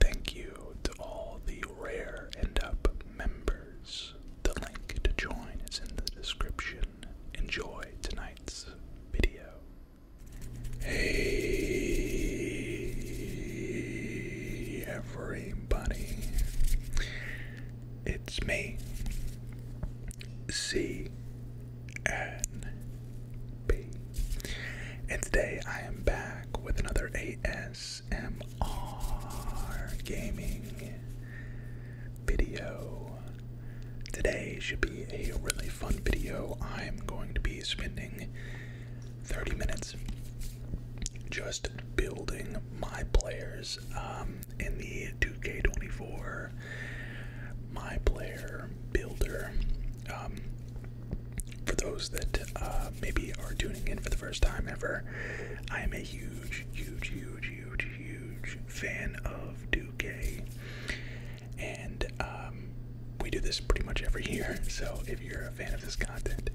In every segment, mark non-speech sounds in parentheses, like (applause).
Thank you to all the Rare end Up members. The link to join is in the description. Enjoy tonight's video. Hey, everybody. It's me, C. N. B and today I am back with another ASMR gaming video. Today should be a really fun video. I'm going to be spending 30 minutes just building my players um, in the 2K24 My Player Builder. Um, for those that uh, maybe are tuning in for the first time ever, I am a huge, huge, huge, huge, huge fan of 2 And um, we do this pretty much every year. So if you're a fan of this content,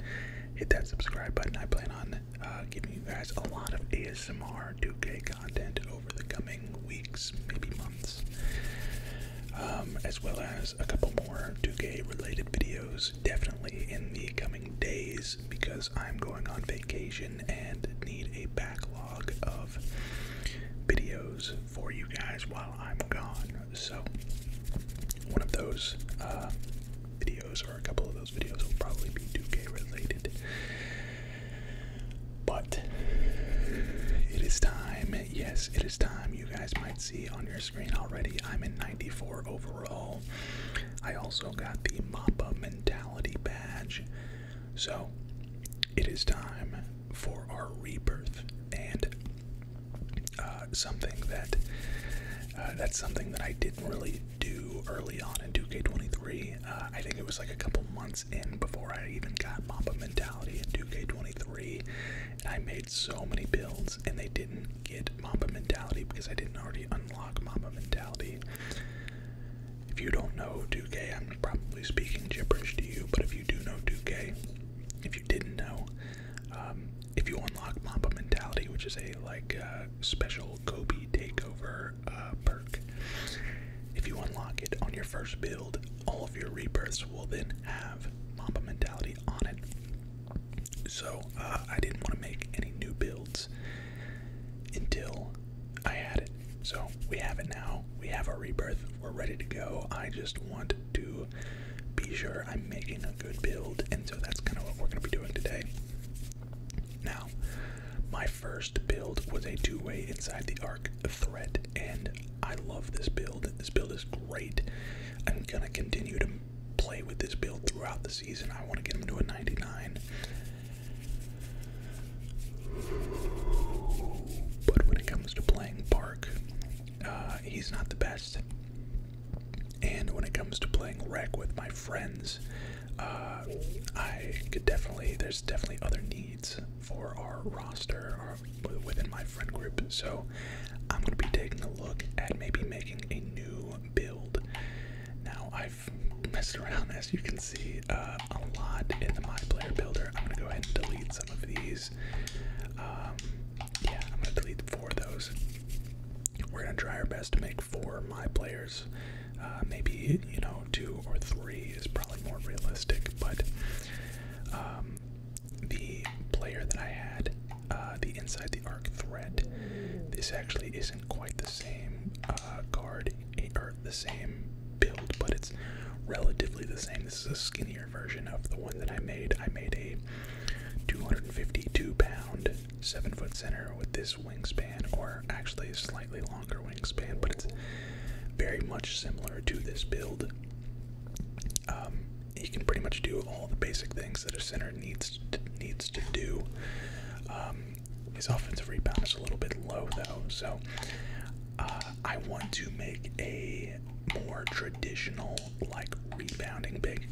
hit that subscribe button. I plan on uh, giving you guys a lot of ASMR 2K content over the coming weeks, maybe months. Um, as well as a couple more 2K related videos definitely in the coming days because I'm going on vacation and need a backlog of videos for you guys while I'm gone. So, one of those uh, videos or a couple of those videos will probably be 2K related. But it is time, yes, it is time. You guys might see on your screen already. I'm in 94 overall. I also got the Mappa Mentality badge. So it is time for our rebirth and uh, something that uh, that's something that I didn't really do early on in 2K23. Uh, I think it was like a couple months in before I even got Mappa Mentality in 2K23, and I made so many builds and they didn't get Mamba mentality because I didn't already unlock Mamba mentality. If you don't know 2K, I'm probably speaking gibberish to you, but if you do know 2K, if you didn't know, um, if you unlock Mamba mentality, which is a like uh, special Kobe takeover uh, perk, if you unlock it on your first build, all of your rebirths will then have Mamba mentality on it. So uh, I didn't want to make any new builds until I had it. So we have it now. We have our rebirth. We're ready to go. I just want to be sure I'm making a good build, and so that's kind of what we're going to be doing today. Now, my first build was a two-way inside the arc threat, and I love this build. This build is great. I'm gonna continue to play with this build throughout the season. I want to get him to a 99. But when it comes to playing Park, uh, he's not the best. And when it comes to playing Wreck with my friends, uh, I could definitely, there's definitely other needs for our roster, within my friend group. So I'm going to be taking a look at maybe making a new build. Now I've messed around, as you can see, uh, a lot in the My Player Builder. I'm going to go ahead and delete some of these. Um, yeah, I'm going to delete four of those. We're going to try our best to make four My Players. Uh, maybe, you know, two or three is probably more realistic, but um, the player that I had, uh, the Inside the Arc thread. This actually isn't quite the same uh, card eh, or the same build, but it's relatively the same. This is a skinnier version of the one that I made. I made a 252 pound, 7 foot center with this wingspan, or actually a slightly longer wingspan, but it's very much similar to this build. Um, he can pretty much do all the basic things that a center needs to, needs to do. Um, his offensive rebound is a little bit low though, so uh, I want to make a more traditional like rebounding big.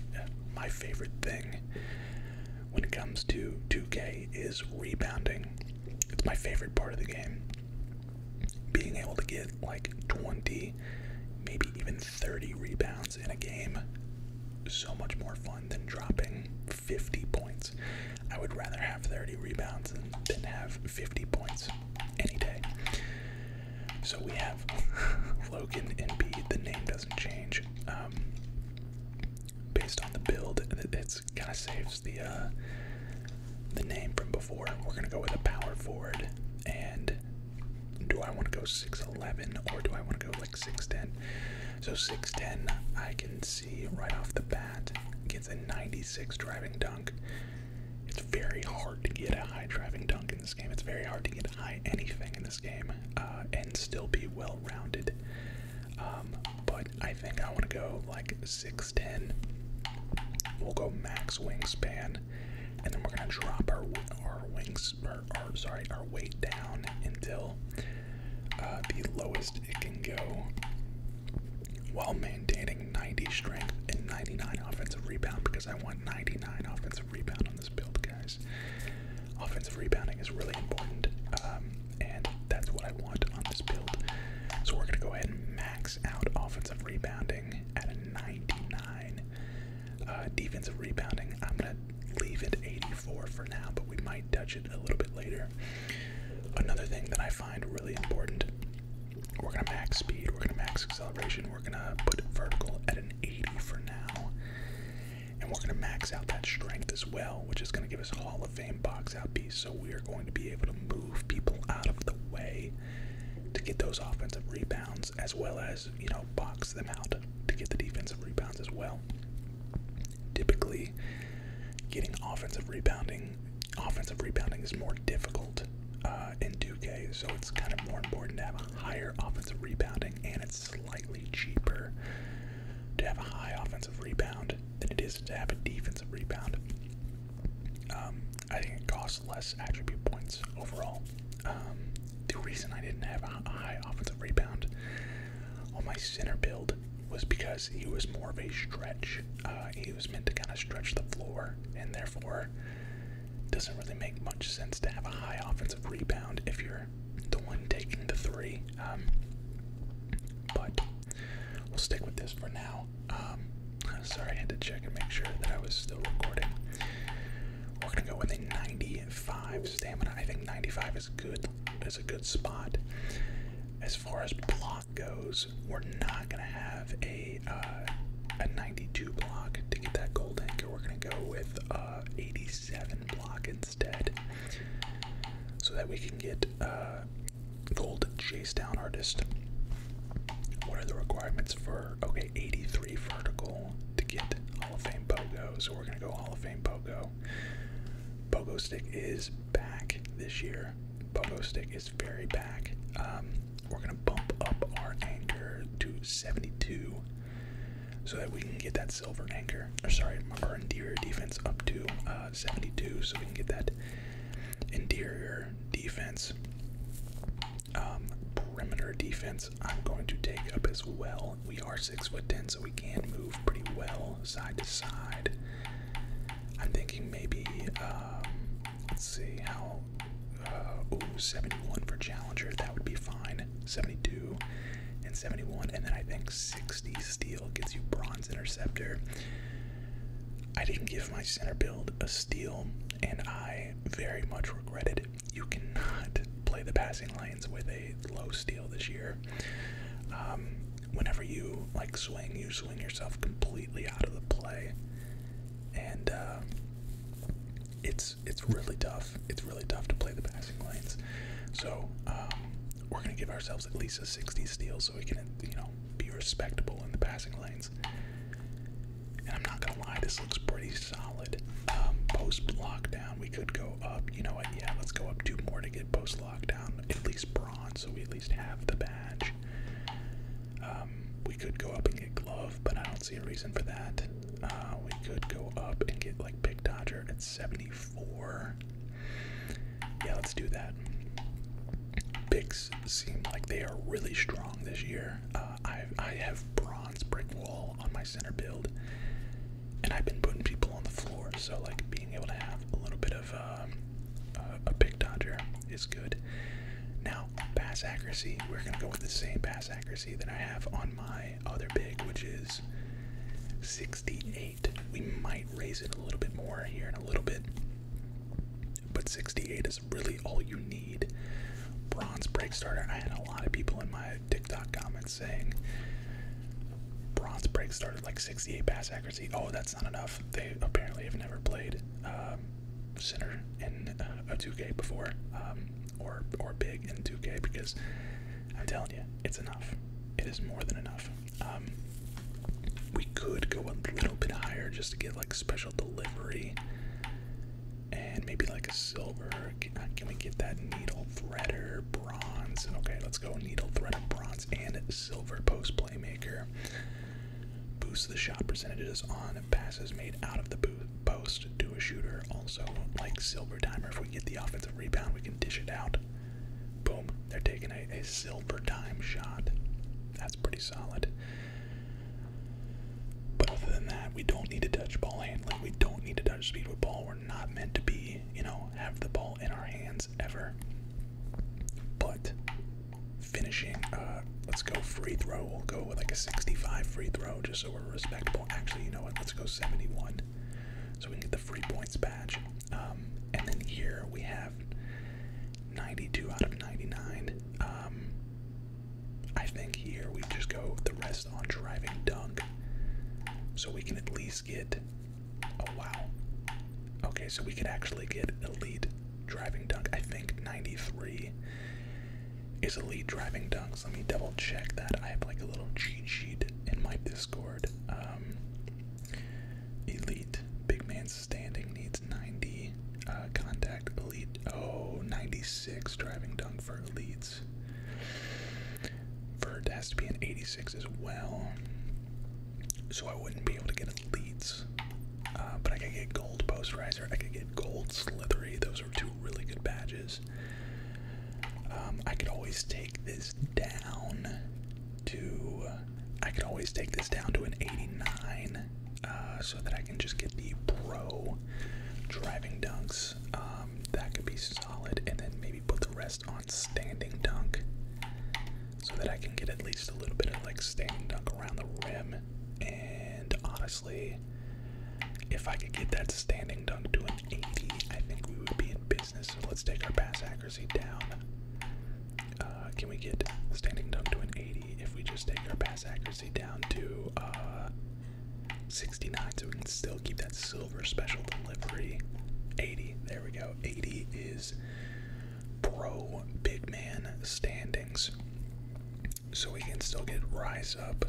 My favorite thing when it comes to 2K is rebounding. It's my favorite part of the game being able to get like 20, maybe even 30 rebounds in a game, so much more fun than dropping 50 points. I would rather have 30 rebounds than, have 50 points any day. So we have (laughs) Logan and B. The name doesn't change. Um, based on the build, it, it's kind of saves the uh, the name from before. We're going to go with a power forward. And do I want to go 6'11 or do I want to go like 6'10? So 6'10, I can see right off the bat, gets a 96 driving dunk. It's very hard to get a high driving dunk in this game. It's very hard to get high anything in this game uh, and still be well rounded. Um, but I think I want to go like 6'10 10. We'll go max wingspan, and then we're gonna drop our our wings, or our, sorry, our weight down until uh, the lowest it can go, while maintaining 90 strength and 99 offensive rebound. Because I want 99 offensive rebound on this build, guys. Offensive rebounding is really important, um, and that's what I want on this build. So we're gonna go ahead and max out offensive rebounding at a 99. Uh, defensive rebounding, I'm going to leave it 84 for now, but we might touch it a little bit later. Another thing that I find really important we're going to max speed, we're going to max acceleration, we're going to put vertical at an 80 for now. And we're going to max out that strength as well, which is going to give us Hall of Fame box out piece. So we are going to be able to move move people out of the way to get those offensive rebounds, as well as, you know, box them out to get the defensive rebounds as well. Typically, getting offensive rebounding, offensive rebounding is more difficult uh, in Duke, so it's kind of more important to have a higher offensive rebounding, and it's slightly cheaper to have a high offensive rebound than it is to have a defensive rebound. Um, I think it costs less attribute points overall. Um, the reason I didn't have a high offensive rebound on my center build was because he was more of a stretch. Uh, he was meant to kind of stretch the floor, and therefore, doesn't really make much sense to have a high offensive rebound if you're the one taking the three. Um, but we'll stick with this for now. Um, sorry, I had to check and make sure that I was still recording. We're gonna go with a 95 stamina. I think 95 is good. Is a good spot. As far as block goes, we're not gonna have a uh, a 92 block to get that gold anchor. We're gonna go with uh, 87 block instead, so that we can get. Uh, gold chase down artist. What are the requirements for okay 83 vertical to get Hall of Fame Pogo? So we're gonna go Hall of Fame Pogo. Pogo stick is back this year. Pogo stick is very back. Um, we're gonna bump up our anchor to 72 so that we can get that silver anchor. Or sorry, our interior defense up to uh, 72 so we can get that Interior defense. Um, perimeter defense, I'm going to take up as well. We are six foot ten, so we can move pretty well side to side. I'm thinking maybe, um, let's see how. Uh, 71 for Challenger, that would be fine. 72 and 71, and then I think 60 steel gets you Bronze Interceptor. I didn't give my center build a steal, and I very much regret it. You cannot play the passing lanes with a low steal this year. Um, whenever you like swing, you swing yourself completely out of the play, and uh, it's it's really tough. It's really tough to play the passing lanes. So um, we're gonna give ourselves at least a 60 steal so we can you know be respectable in the passing lanes. I'm not gonna lie, this looks pretty solid. Um, post lockdown, we could go up. You know what? Yeah, let's go up two more to get post lockdown. At least bronze, so we at least have the badge. Um, we could go up and get glove, but I don't see a reason for that. Uh, we could go up and get like pick dodger at 74. Yeah, let's do that. Picks seem like they are really strong this year. Uh, I I have bronze brick wall on my center build, and I've been putting people on the floor. So like being able to have a little bit of uh, uh, a pick dodger is good. Now pass accuracy, we're gonna go with the same pass accuracy that I have on my other big, which is 68. We might raise it a little bit more here in a little bit. But 68 is really all you need. Bronze break starter. I had a lot of people in my TikTok comments saying bronze break starter like 68 pass accuracy. Oh, that's not enough. They apparently have never played um, center in a 2K before, um, or or big in 2K because I'm telling you, it's enough. It is more than enough. Um, we could go a little bit higher just to get like special delivery and maybe like a silver. Can, uh, we get that needle threader, bronze? Okay, let's go needle threader, bronze, and silver post playmaker. Boost the shot percentages on passes made out of the post to a shooter. Also, like silver timer, if we get the offensive rebound, we can dish it out. Boom, they're taking a, a silver time shot. That's pretty solid. But other than that, we don't need to touch ball handling. We don't need to touch speed with ball. We're not meant to be, you know, have the ball in our hands ever. But finishing, uh, let's go free throw. We'll go with like a 65 free throw just so we're respectable. Actually, you know what? Let's go 71 so we can get the free points badge. Um, and then here we have 92 out of 99. Um, I think here we just go the rest on driving dunk. So we can at least get. Oh, wow. Okay, so we could actually get elite driving dunk. I think 93 is elite driving dunks. Let me double check that. I have like a little cheat sheet in my Discord. Um, elite big man standing needs 90 uh, contact elite. Oh, 96 driving dunk for elites. Vert has to be an 86 as well. So I wouldn't be able to get elites. Uh, but I could get gold post riser. I could get gold slithery. Those are two really good badges. Um, I could always take this down to, I could always take this down to an 89 uh, so that I can just get the pro driving dunks. Um, that could be solid, and then maybe put the rest on standing dunk so that I can get at least a little bit of like standing dunk around the rim. And honestly, if I could get that standing dunk to an 80, I think we would be in business. So let's take our pass accuracy down uh, can we get standing dunk to an 80 if we just take our pass accuracy down to uh, 69 so we can still keep that silver special delivery? 80. There we go. 80 is pro big man standings. So we can still get rise up.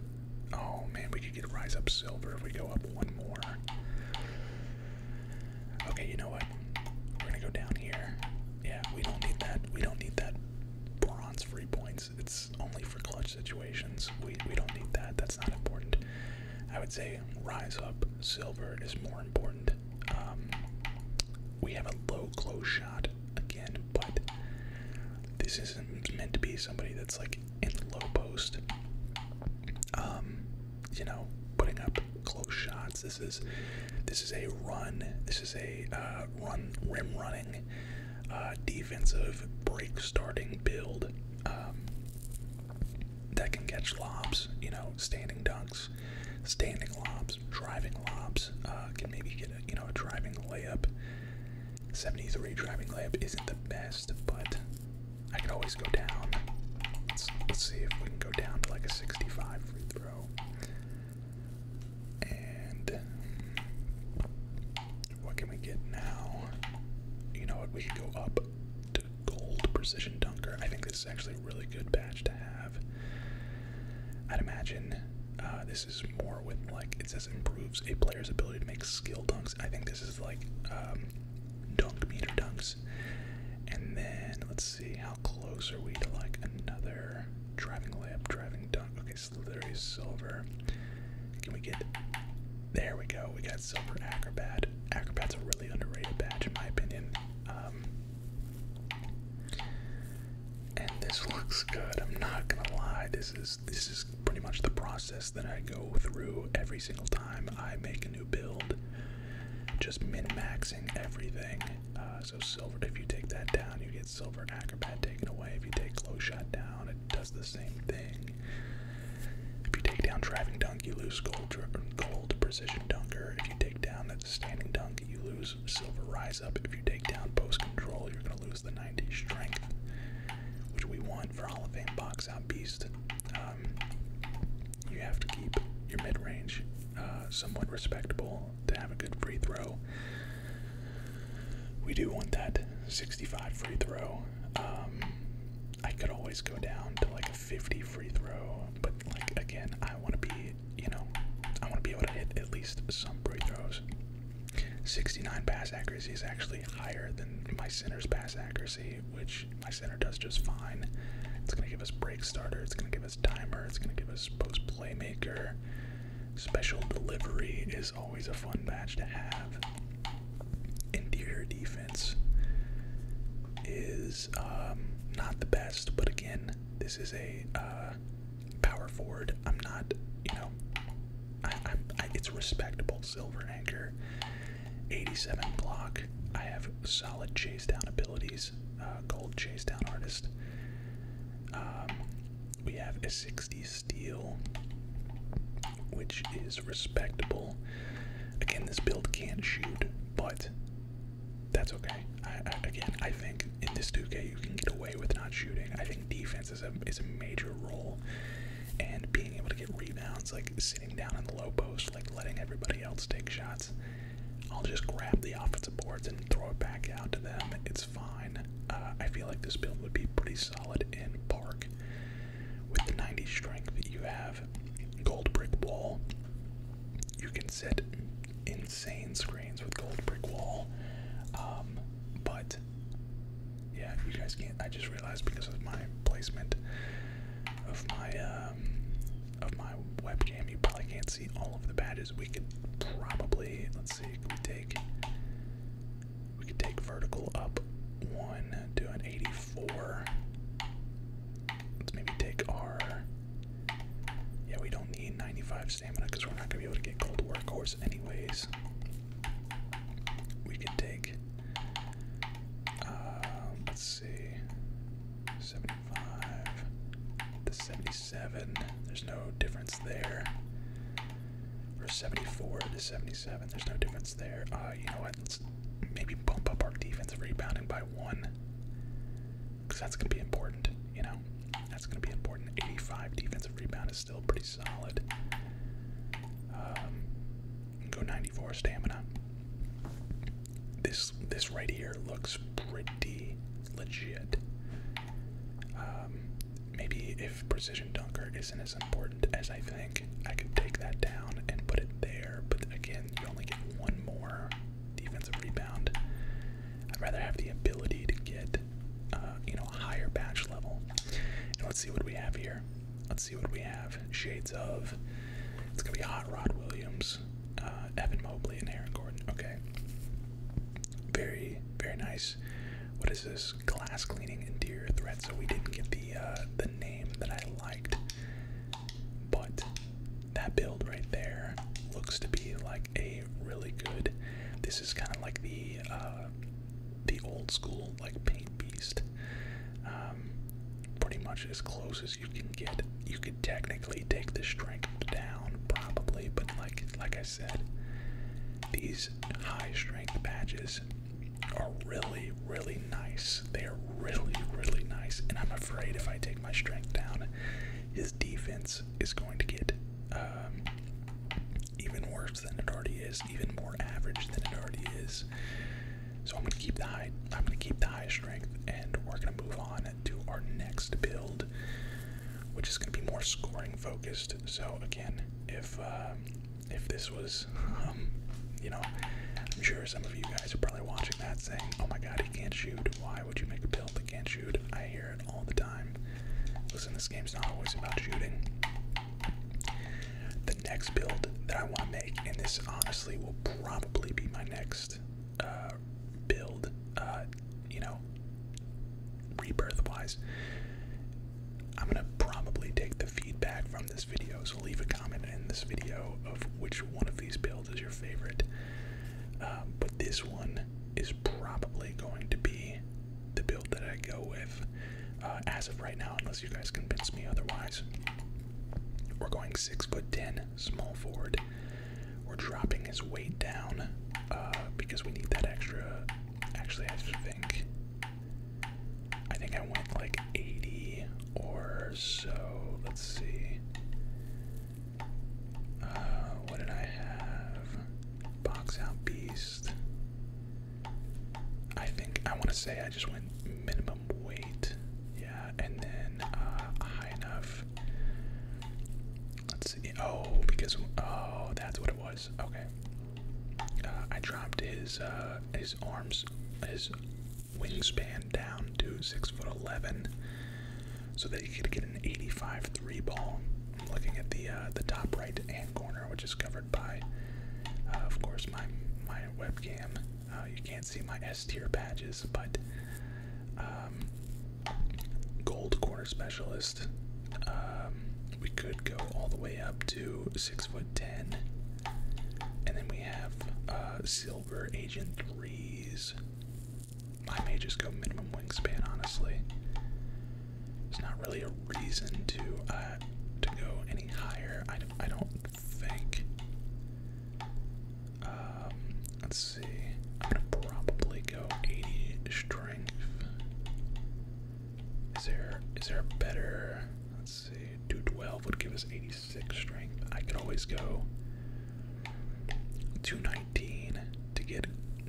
Oh man, we could get rise up silver if we go up one more. Okay, you know what? We're gonna go down here. Yeah, we don't need that. We don't need that bronze free points. It's only for clutch situations. We we don't need that. That's not important. I would say rise up silver is more important. Um, we have a low close shot again, but this isn't meant to be somebody that's like in the low post. Um, you know, putting up close shots. This is this is a run. This is a uh, run rim running uh, defensive break starting build um, that can catch lobs. You know, standing dunks, standing lobs, driving lobs. Uh, can maybe get you know a driving layup. 73 driving layup isn't the best, but I can always go down. let's see if we can go down to like a 65 free throw. And what can we get now? You know what? We could go up to gold precision dunker. I think this is actually a really good patch to have. I'd imagine uh, this is more with like it says improves a player's ability to make skill dunks. I think this is like um, dunk meter dunks. And then let's Let's see, how close are we to like another driving layup, driving dunk? Okay, so there is Silver. Can we get. There we go, we got Silver Acrobat. Acrobat's a really underrated badge, in my opinion. Um, and this (laughs) looks good. I'm not gonna lie. This is this is pretty much the process that I go through every single time I make a new build just min-maxing everything. Uh, so silver, if you take that down, you get silver acrobat taken away. If you take low shot down, it does the same thing. If you take down driving dunk, you lose gold, gold precision dunker. If you take down that standing dunk, you lose silver rise up. If you take down post control, you're gonna lose the 90 strength, which we want for Hall of Fame box out beast. Um, you have to keep your mid range uh, somewhat respectable to have a good free throw. We do want that 65 free throw. Um, I could always go down to like a 50 free throw, but like again, I want to be, you know, I want to be able to hit at least some free throws. 69 pass accuracy is actually higher than my center's pass accuracy, which my center does just fine. It's going to give us break starter, it's going to give us timer, it's going to give us post playmaker. Special delivery is always a fun match to have. Interior defense is um, not the best, but again, this is a uh, power forward. I'm not, you know, it's respectable. Silver anchor, 87 block. I have solid chase down abilities gold chase down artist. Um, we have a 60 steel, which is respectable. Again, this build can't shoot, but that's okay. again, I think in this 2K you can get away with not shooting. I think defense is a is a major role, and being able to get rebounds, like sitting down in the low post, like letting everybody else take shots, I'll just grab the offensive boards and throw it back out to them. It's fine. Uh, I feel like this build would be pretty solid in park. With the 90 strength, that you have gold brick wall. You can set insane screens with gold brick wall. Um, but yeah, you guys can't. I just realized because of my placement of my um, of my webcam, you probably can't see all of the badges. We could probably, let's see, could we take, we could take vertical up one to an 84. Let's maybe take our, yeah, we don't need 95 stamina because we're not gonna be able to get gold workhorse anyways. We could take, uh, see. 75 to 77. There's no difference there. Or 74 to 77. There's no difference there. Uh, you know what? Let's maybe bump up our defensive rebounding by one. Because that's going to be important, you know? That's going to be important. 85 defensive rebound is still pretty solid. Um, go 94 stamina this this right here looks pretty legit. Um, maybe if precision dunker isn't as important as I think, I could take that down and put it there. But again, you only get one more defensive rebound. I'd rather have the ability to get, uh, you know, a higher batch level. And let's see what we have here. Let's see what we have. Shades of. It's gonna be Hot Rod Williams. Uh, Evan Mobley and Aaron Gordon. Okay. Very, very nice. What is this? Glass cleaning interior thread? So we didn't get the uh, the name that I liked, but that build right there looks to be like a really good. This is kind of like the uh, the old school like paint beast. Um, pretty much as close as you can get you could technically take the strength down probably, but like like I said, these high strength patches are really really nice. They are really really nice, and I'm afraid if I take my strength down, his defense is going to get um, even worse than it already is, even more average than it already is. So I'm gonna keep the high. I'm gonna keep the high strength, and we're gonna move on to our next build, which is gonna be more scoring focused. So again, if um, if this was, (laughs) um, you know, I'm sure some of you guys are probably watching that saying, "Oh my God, he can't shoot! Why would you make a build that can't shoot?" I hear it all the time. Listen, this game's not always about shooting. The next build that I want to make, and this honestly will probably be my next uh, build, uh, you know, rebirth wise, I'm gonna probably take the feedback from this video. So leave a comment in this video of which one of these builds is your favorite. Um, but this one is probably going to be the build that I go with uh, as of right now, unless you guys convince me otherwise. We're going six foot ten small forward. We're dropping his weight down uh, because we need that extra. Actually, I think I think I went like 80 or so. Let's see. Uh, what did I have? Box out beast. I think I want to say I just went minimum minimum weight. Yeah, and then uh, high enough. Let's see. Oh, because oh, that's what it was. Okay. Uh, I dropped his uh, his arms, his wingspan down to six foot eleven, so that he could get an eighty-five three ball. I'm looking at the uh, the top right hand corner, which is covered by, uh, of course, my my webcam. Uh, you can't see my S tier badges but um, gold corner specialist. Um, we could go all the way up to six foot ten, and then we have uh, silver agent threes. I may just go minimum wingspan. Honestly, there's not really a reason to uh, to go any higher. I don't, I don't think. Um, let's see. I'm gonna probably go 80 strength. Is there is there a better? Let's see. 212 would give us 86 strength. I could always go 219 to get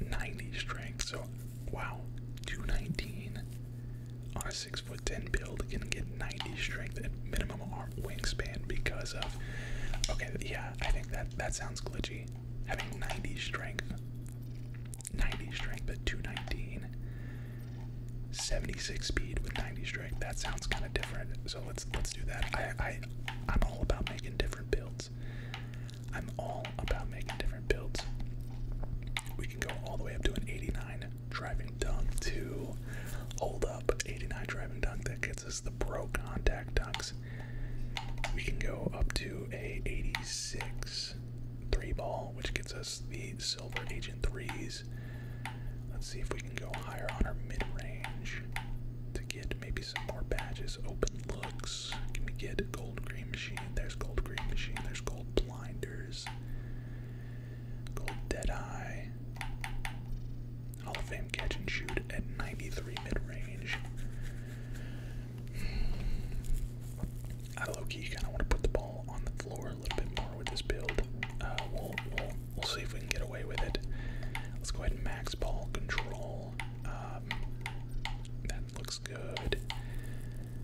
90 strength. So wow, 219 on a six foot ten build can get 90 strength and minimum arm wingspan because of. Okay, yeah, I think that that sounds glitchy. Having 90 strength, 90 strength at 219, 76 speed with 90 strength. That sounds kind of different. So let's let's do that. I I I'm all about making different builds. I'm all about making different builds. We can go all the way up to an 89 driving dunk to hold up 89 driving dunk that gets us the pro contact dunks. We can go up to a 86 three ball, which gets us the silver agent threes. Let's see if we can go higher on our mid range to get maybe some more badges, open looks. Can we get gold green machine? There's gold green machine, there's gold blinders. Gold Deadeye. Hall of Fame catch and shoot at 93 mid range. I low key kind of want to put the ball on the floor a little bit more with this build. Uh, we'll, see if we can get away with it. Let's go ahead and max ball control. Um, that looks good.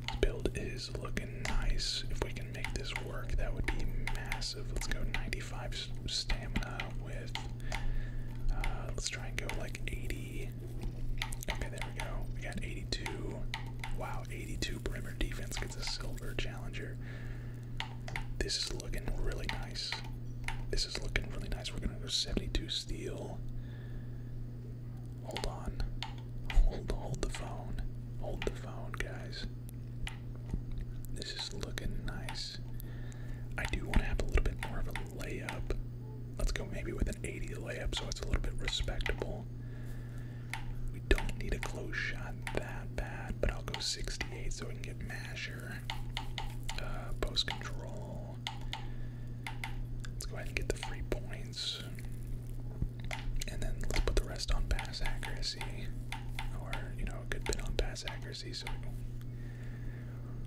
This build is looking nice. If we can make this work, that would be massive. Let's go 95 stamina with. Uh, let's try and go like 80. Okay, there we go. We got 82. Wow, 82 perimeter defense gets a silver challenger. This is looking really nice. This is looking really nice. We're gonna go 72 steel. Hold on. (laughs) Hold hold the phone. Hold the phone, guys. This is looking nice. I do want to have a little bit more of a layup. Let's go maybe with an 80 layup so it's a little bit respectable. We don't need a close shot that bad, but I'll go 68 so we can get masher. Uh, post control. Let's go ahead and get the free points. And then let's put the rest on pass accuracy or you know a good bit on pass accuracy. So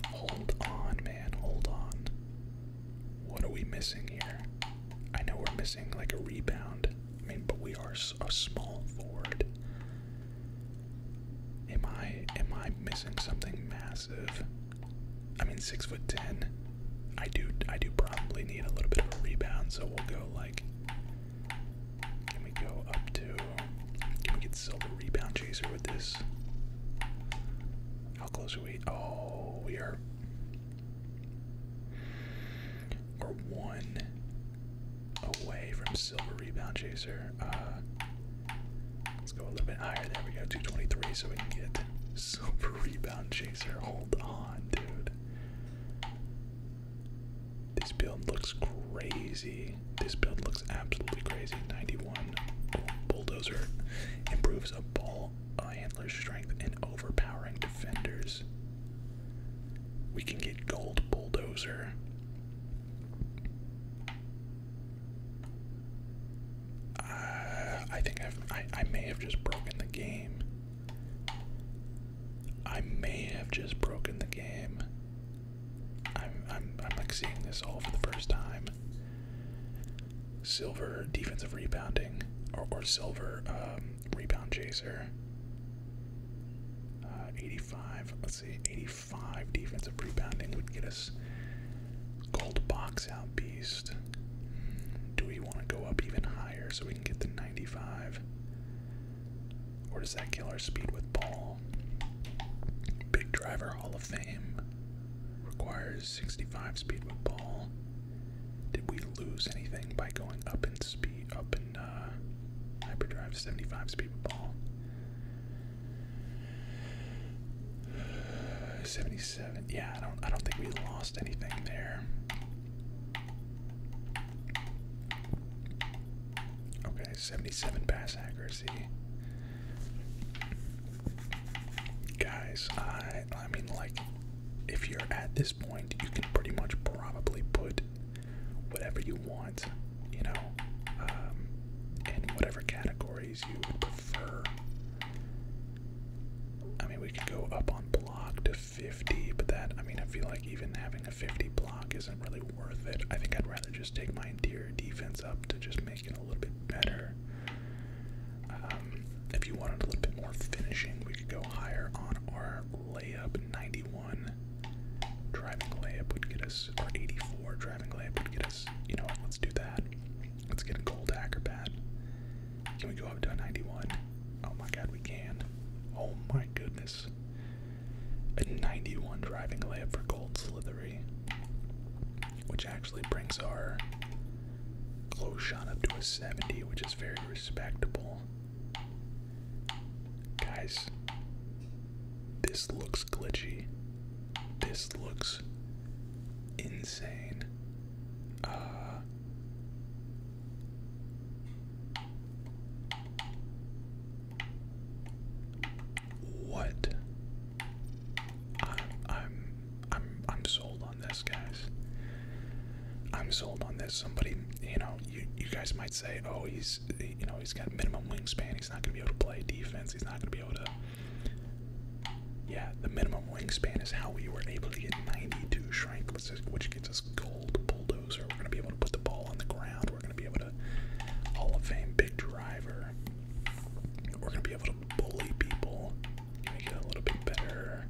hold on, man, hold on. What are we missing here? I know we're missing like a rebound. I mean, but we are a small forward. Am I am I missing something massive? I mean, six foot ten. I do I do probably need a little bit of a rebound, so we'll go like can we go up to. Can we get Silver Rebound Chaser with this? How close are we? Oh, we are. We're one away from Silver Rebound Chaser. Uh, let's go a little bit higher. There we go, 223, so we can get (laughs) Silver Rebound Chaser. Hold on, dude. This build looks crazy. This build looks absolutely crazy. 91 bulldozer improves a ball uh, handler's strength and overpowering defenders. We can get gold bulldozer. Uh, I think I, I may have just broken the game. I may have just broken the game. I'm I'm I'm like seeing this all for the first time. Silver defensive rebounding or or silver um, rebound chaser. Uh, 85, let's see, 85 defensive rebounding would get us gold box out beast. Hmm, do we want to go up even higher so we can get the 95? Or does that kill our speed with ball? Big Driver Hall of Fame requires 65 speed with ball. Did we lose anything by going up in speed, up in uh, hyperdrive 75 speed with ball? 77. Yeah, I don't. I don't think we lost anything there. Okay, 77 pass accuracy. Guys, I I mean like if you're at this point, you can pretty much probably put whatever you want, you know, um, in whatever categories you would prefer. I mean, we could go up on block. 50, but that, I mean, I feel like even having a 50 block isn't really worth it. I think I'd rather just take my interior defense up to just make it a little bit better. Um, if you wanted a little bit more finishing, we could go higher on our layup 91. Driving layup would get us, or 84 driving layup would get us, you know let's do that. Let's get a gold acrobat. Can we go up to a 91? Oh my god, we can. Oh my goodness. A 91 driving layup for Gold Slithery. Which actually brings our close shot up to a 70, which is very respectable. Guys, this looks glitchy. This looks insane. Uh, what? I'm I'm I'm I'm sold on this, guys. I'm sold on this. Somebody, you know, you you guys might say, oh, he's you know he's got minimum wingspan. He's not gonna be able to play defense. He's not gonna be able to. Yeah, the minimum wingspan is how we were able to get 92 shrink, which gets us gold bulldozer. We're going to be able to put the ball on the ground. We're going to be able to Hall of Fame big driver. We're going to be able to bully people. Can we a little bit better?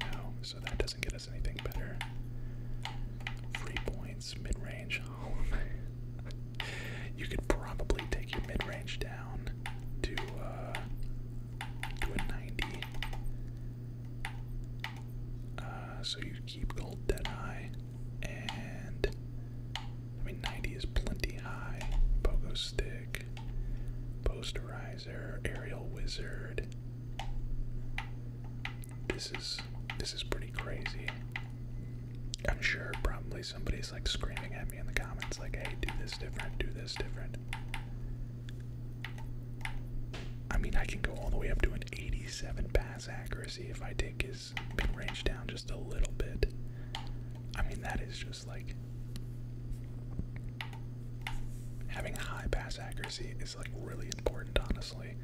No, so that doesn't get us anything better. Free points, mid range. (laughs) you could probably take your mid range down to, uh, to a 90. Uh, so you keep gold that high, and I mean 90 is plenty high. Pogo stick, posterizer, aerial wizard. This is this is pretty crazy. I'm sure probably somebody's like screaming at me in the comments, like, "Hey, do this different, do this different." I mean, I can go all the way up to an 87 pass accuracy if I take his range down just a little bit. I mean, that is just like. Having high pass accuracy is like really important, honestly.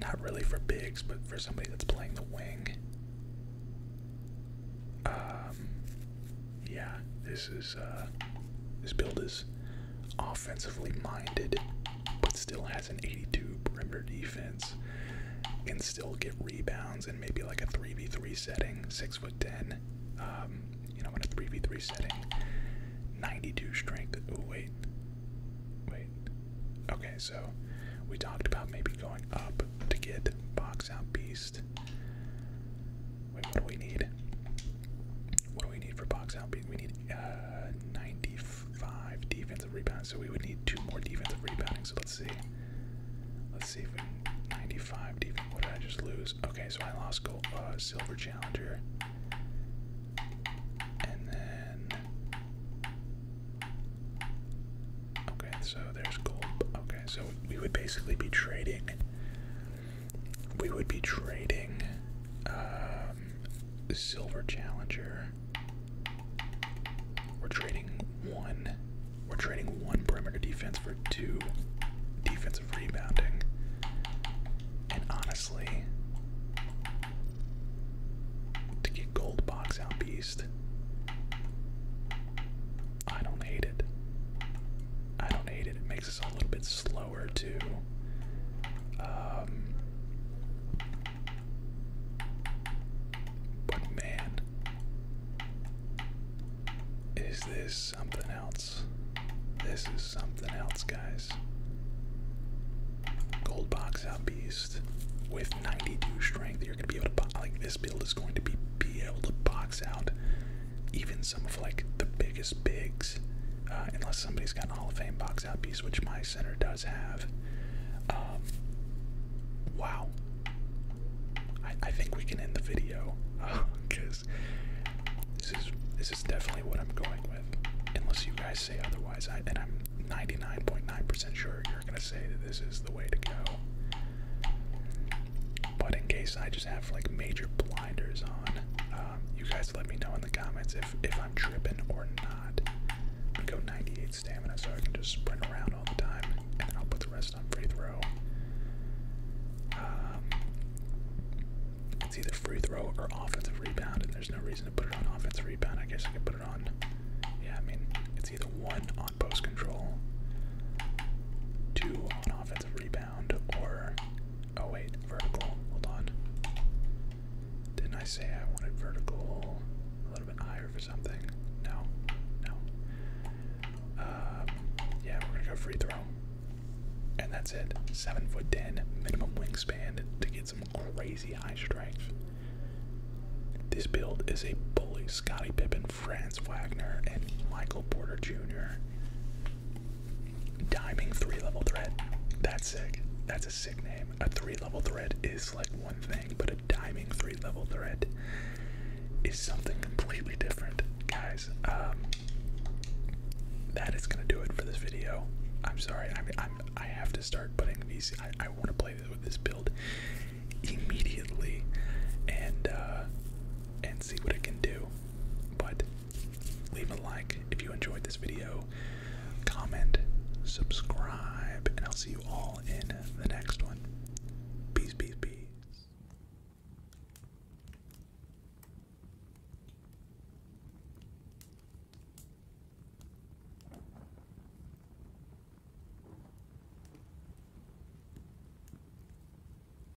Not really for bigs, but for somebody that's playing the wing. Um, yeah, this is uh, this build is offensively minded, but still has an 82 perimeter defense, and still get rebounds and maybe like a 3v3 setting, six foot ten, um, you know, in a 3v3 setting, 92 strength. Oh wait, wait. Okay, so we talked about maybe going up to get box out beast. Wait, what do we need? what do we need for box out? We need uh, 95 defensive rebounds, so we would need two more defensive rebounds. So let's see. Let's see if we 95 defense. What did I just lose? Okay, so I lost gold, uh, silver challenger. And then. Okay, so there's gold. Okay, so we would basically be trading we would be trading um, Silver Challenger. We're trading one. We're trading one perimeter defense for two defensive rebounding. And honestly, to get Gold Box out Beast, I don't hate it. I don't hate it. It makes us a little bit slower um, but man, is this something else? This is something else, guys. Gold box out beast with 92 strength. You're gonna be able to like this build is going to be be able to box out even some of like the biggest bigs, uh, unless somebody's got a Hall of Fame box out piece, which my center does have. Um, wow. I, I think we can end the video because (laughs) this is this is definitely what I'm going with, unless you guys say otherwise. I, and I'm 99.9% percent sure you're gonna say that this is the way to go. But in case I just have like major blinders on, um, you guys let me know in the comments if if I'm tripping or not. I'm go 98 stamina so I can just sprint around all the time, and then I'll put the rest on free throw. Um, it's either free throw or offensive rebound, and there's no reason to put it on offensive rebound. I guess I could put it on. Yeah, I mean, it's either one on post control, two on offense that's a rebound or oh wait, vertical. Hold on. Didn't I say I wanted vertical a little bit higher for something? No, no. Uh, yeah, we're gonna go free throw, and that's it. Seven foot ten, minimum wingspan to get some crazy high strength. This build is a bully. Scottie Pippen, Franz Wagner, and Michael Porter Jr. Diming three level threat. That's sick. That's a sick name. A three level threat is like one thing, but a diming three level threat is something completely different. Guys, um, that is gonna do it for this video. I'm sorry. I mean, I'm I have to start putting these. I, I want to play with this build immediately, and uh, and see what it can do. But Leave a like if you enjoyed this video, comment, subscribe, and I'll see you all in the next one. Peace, peace, peace.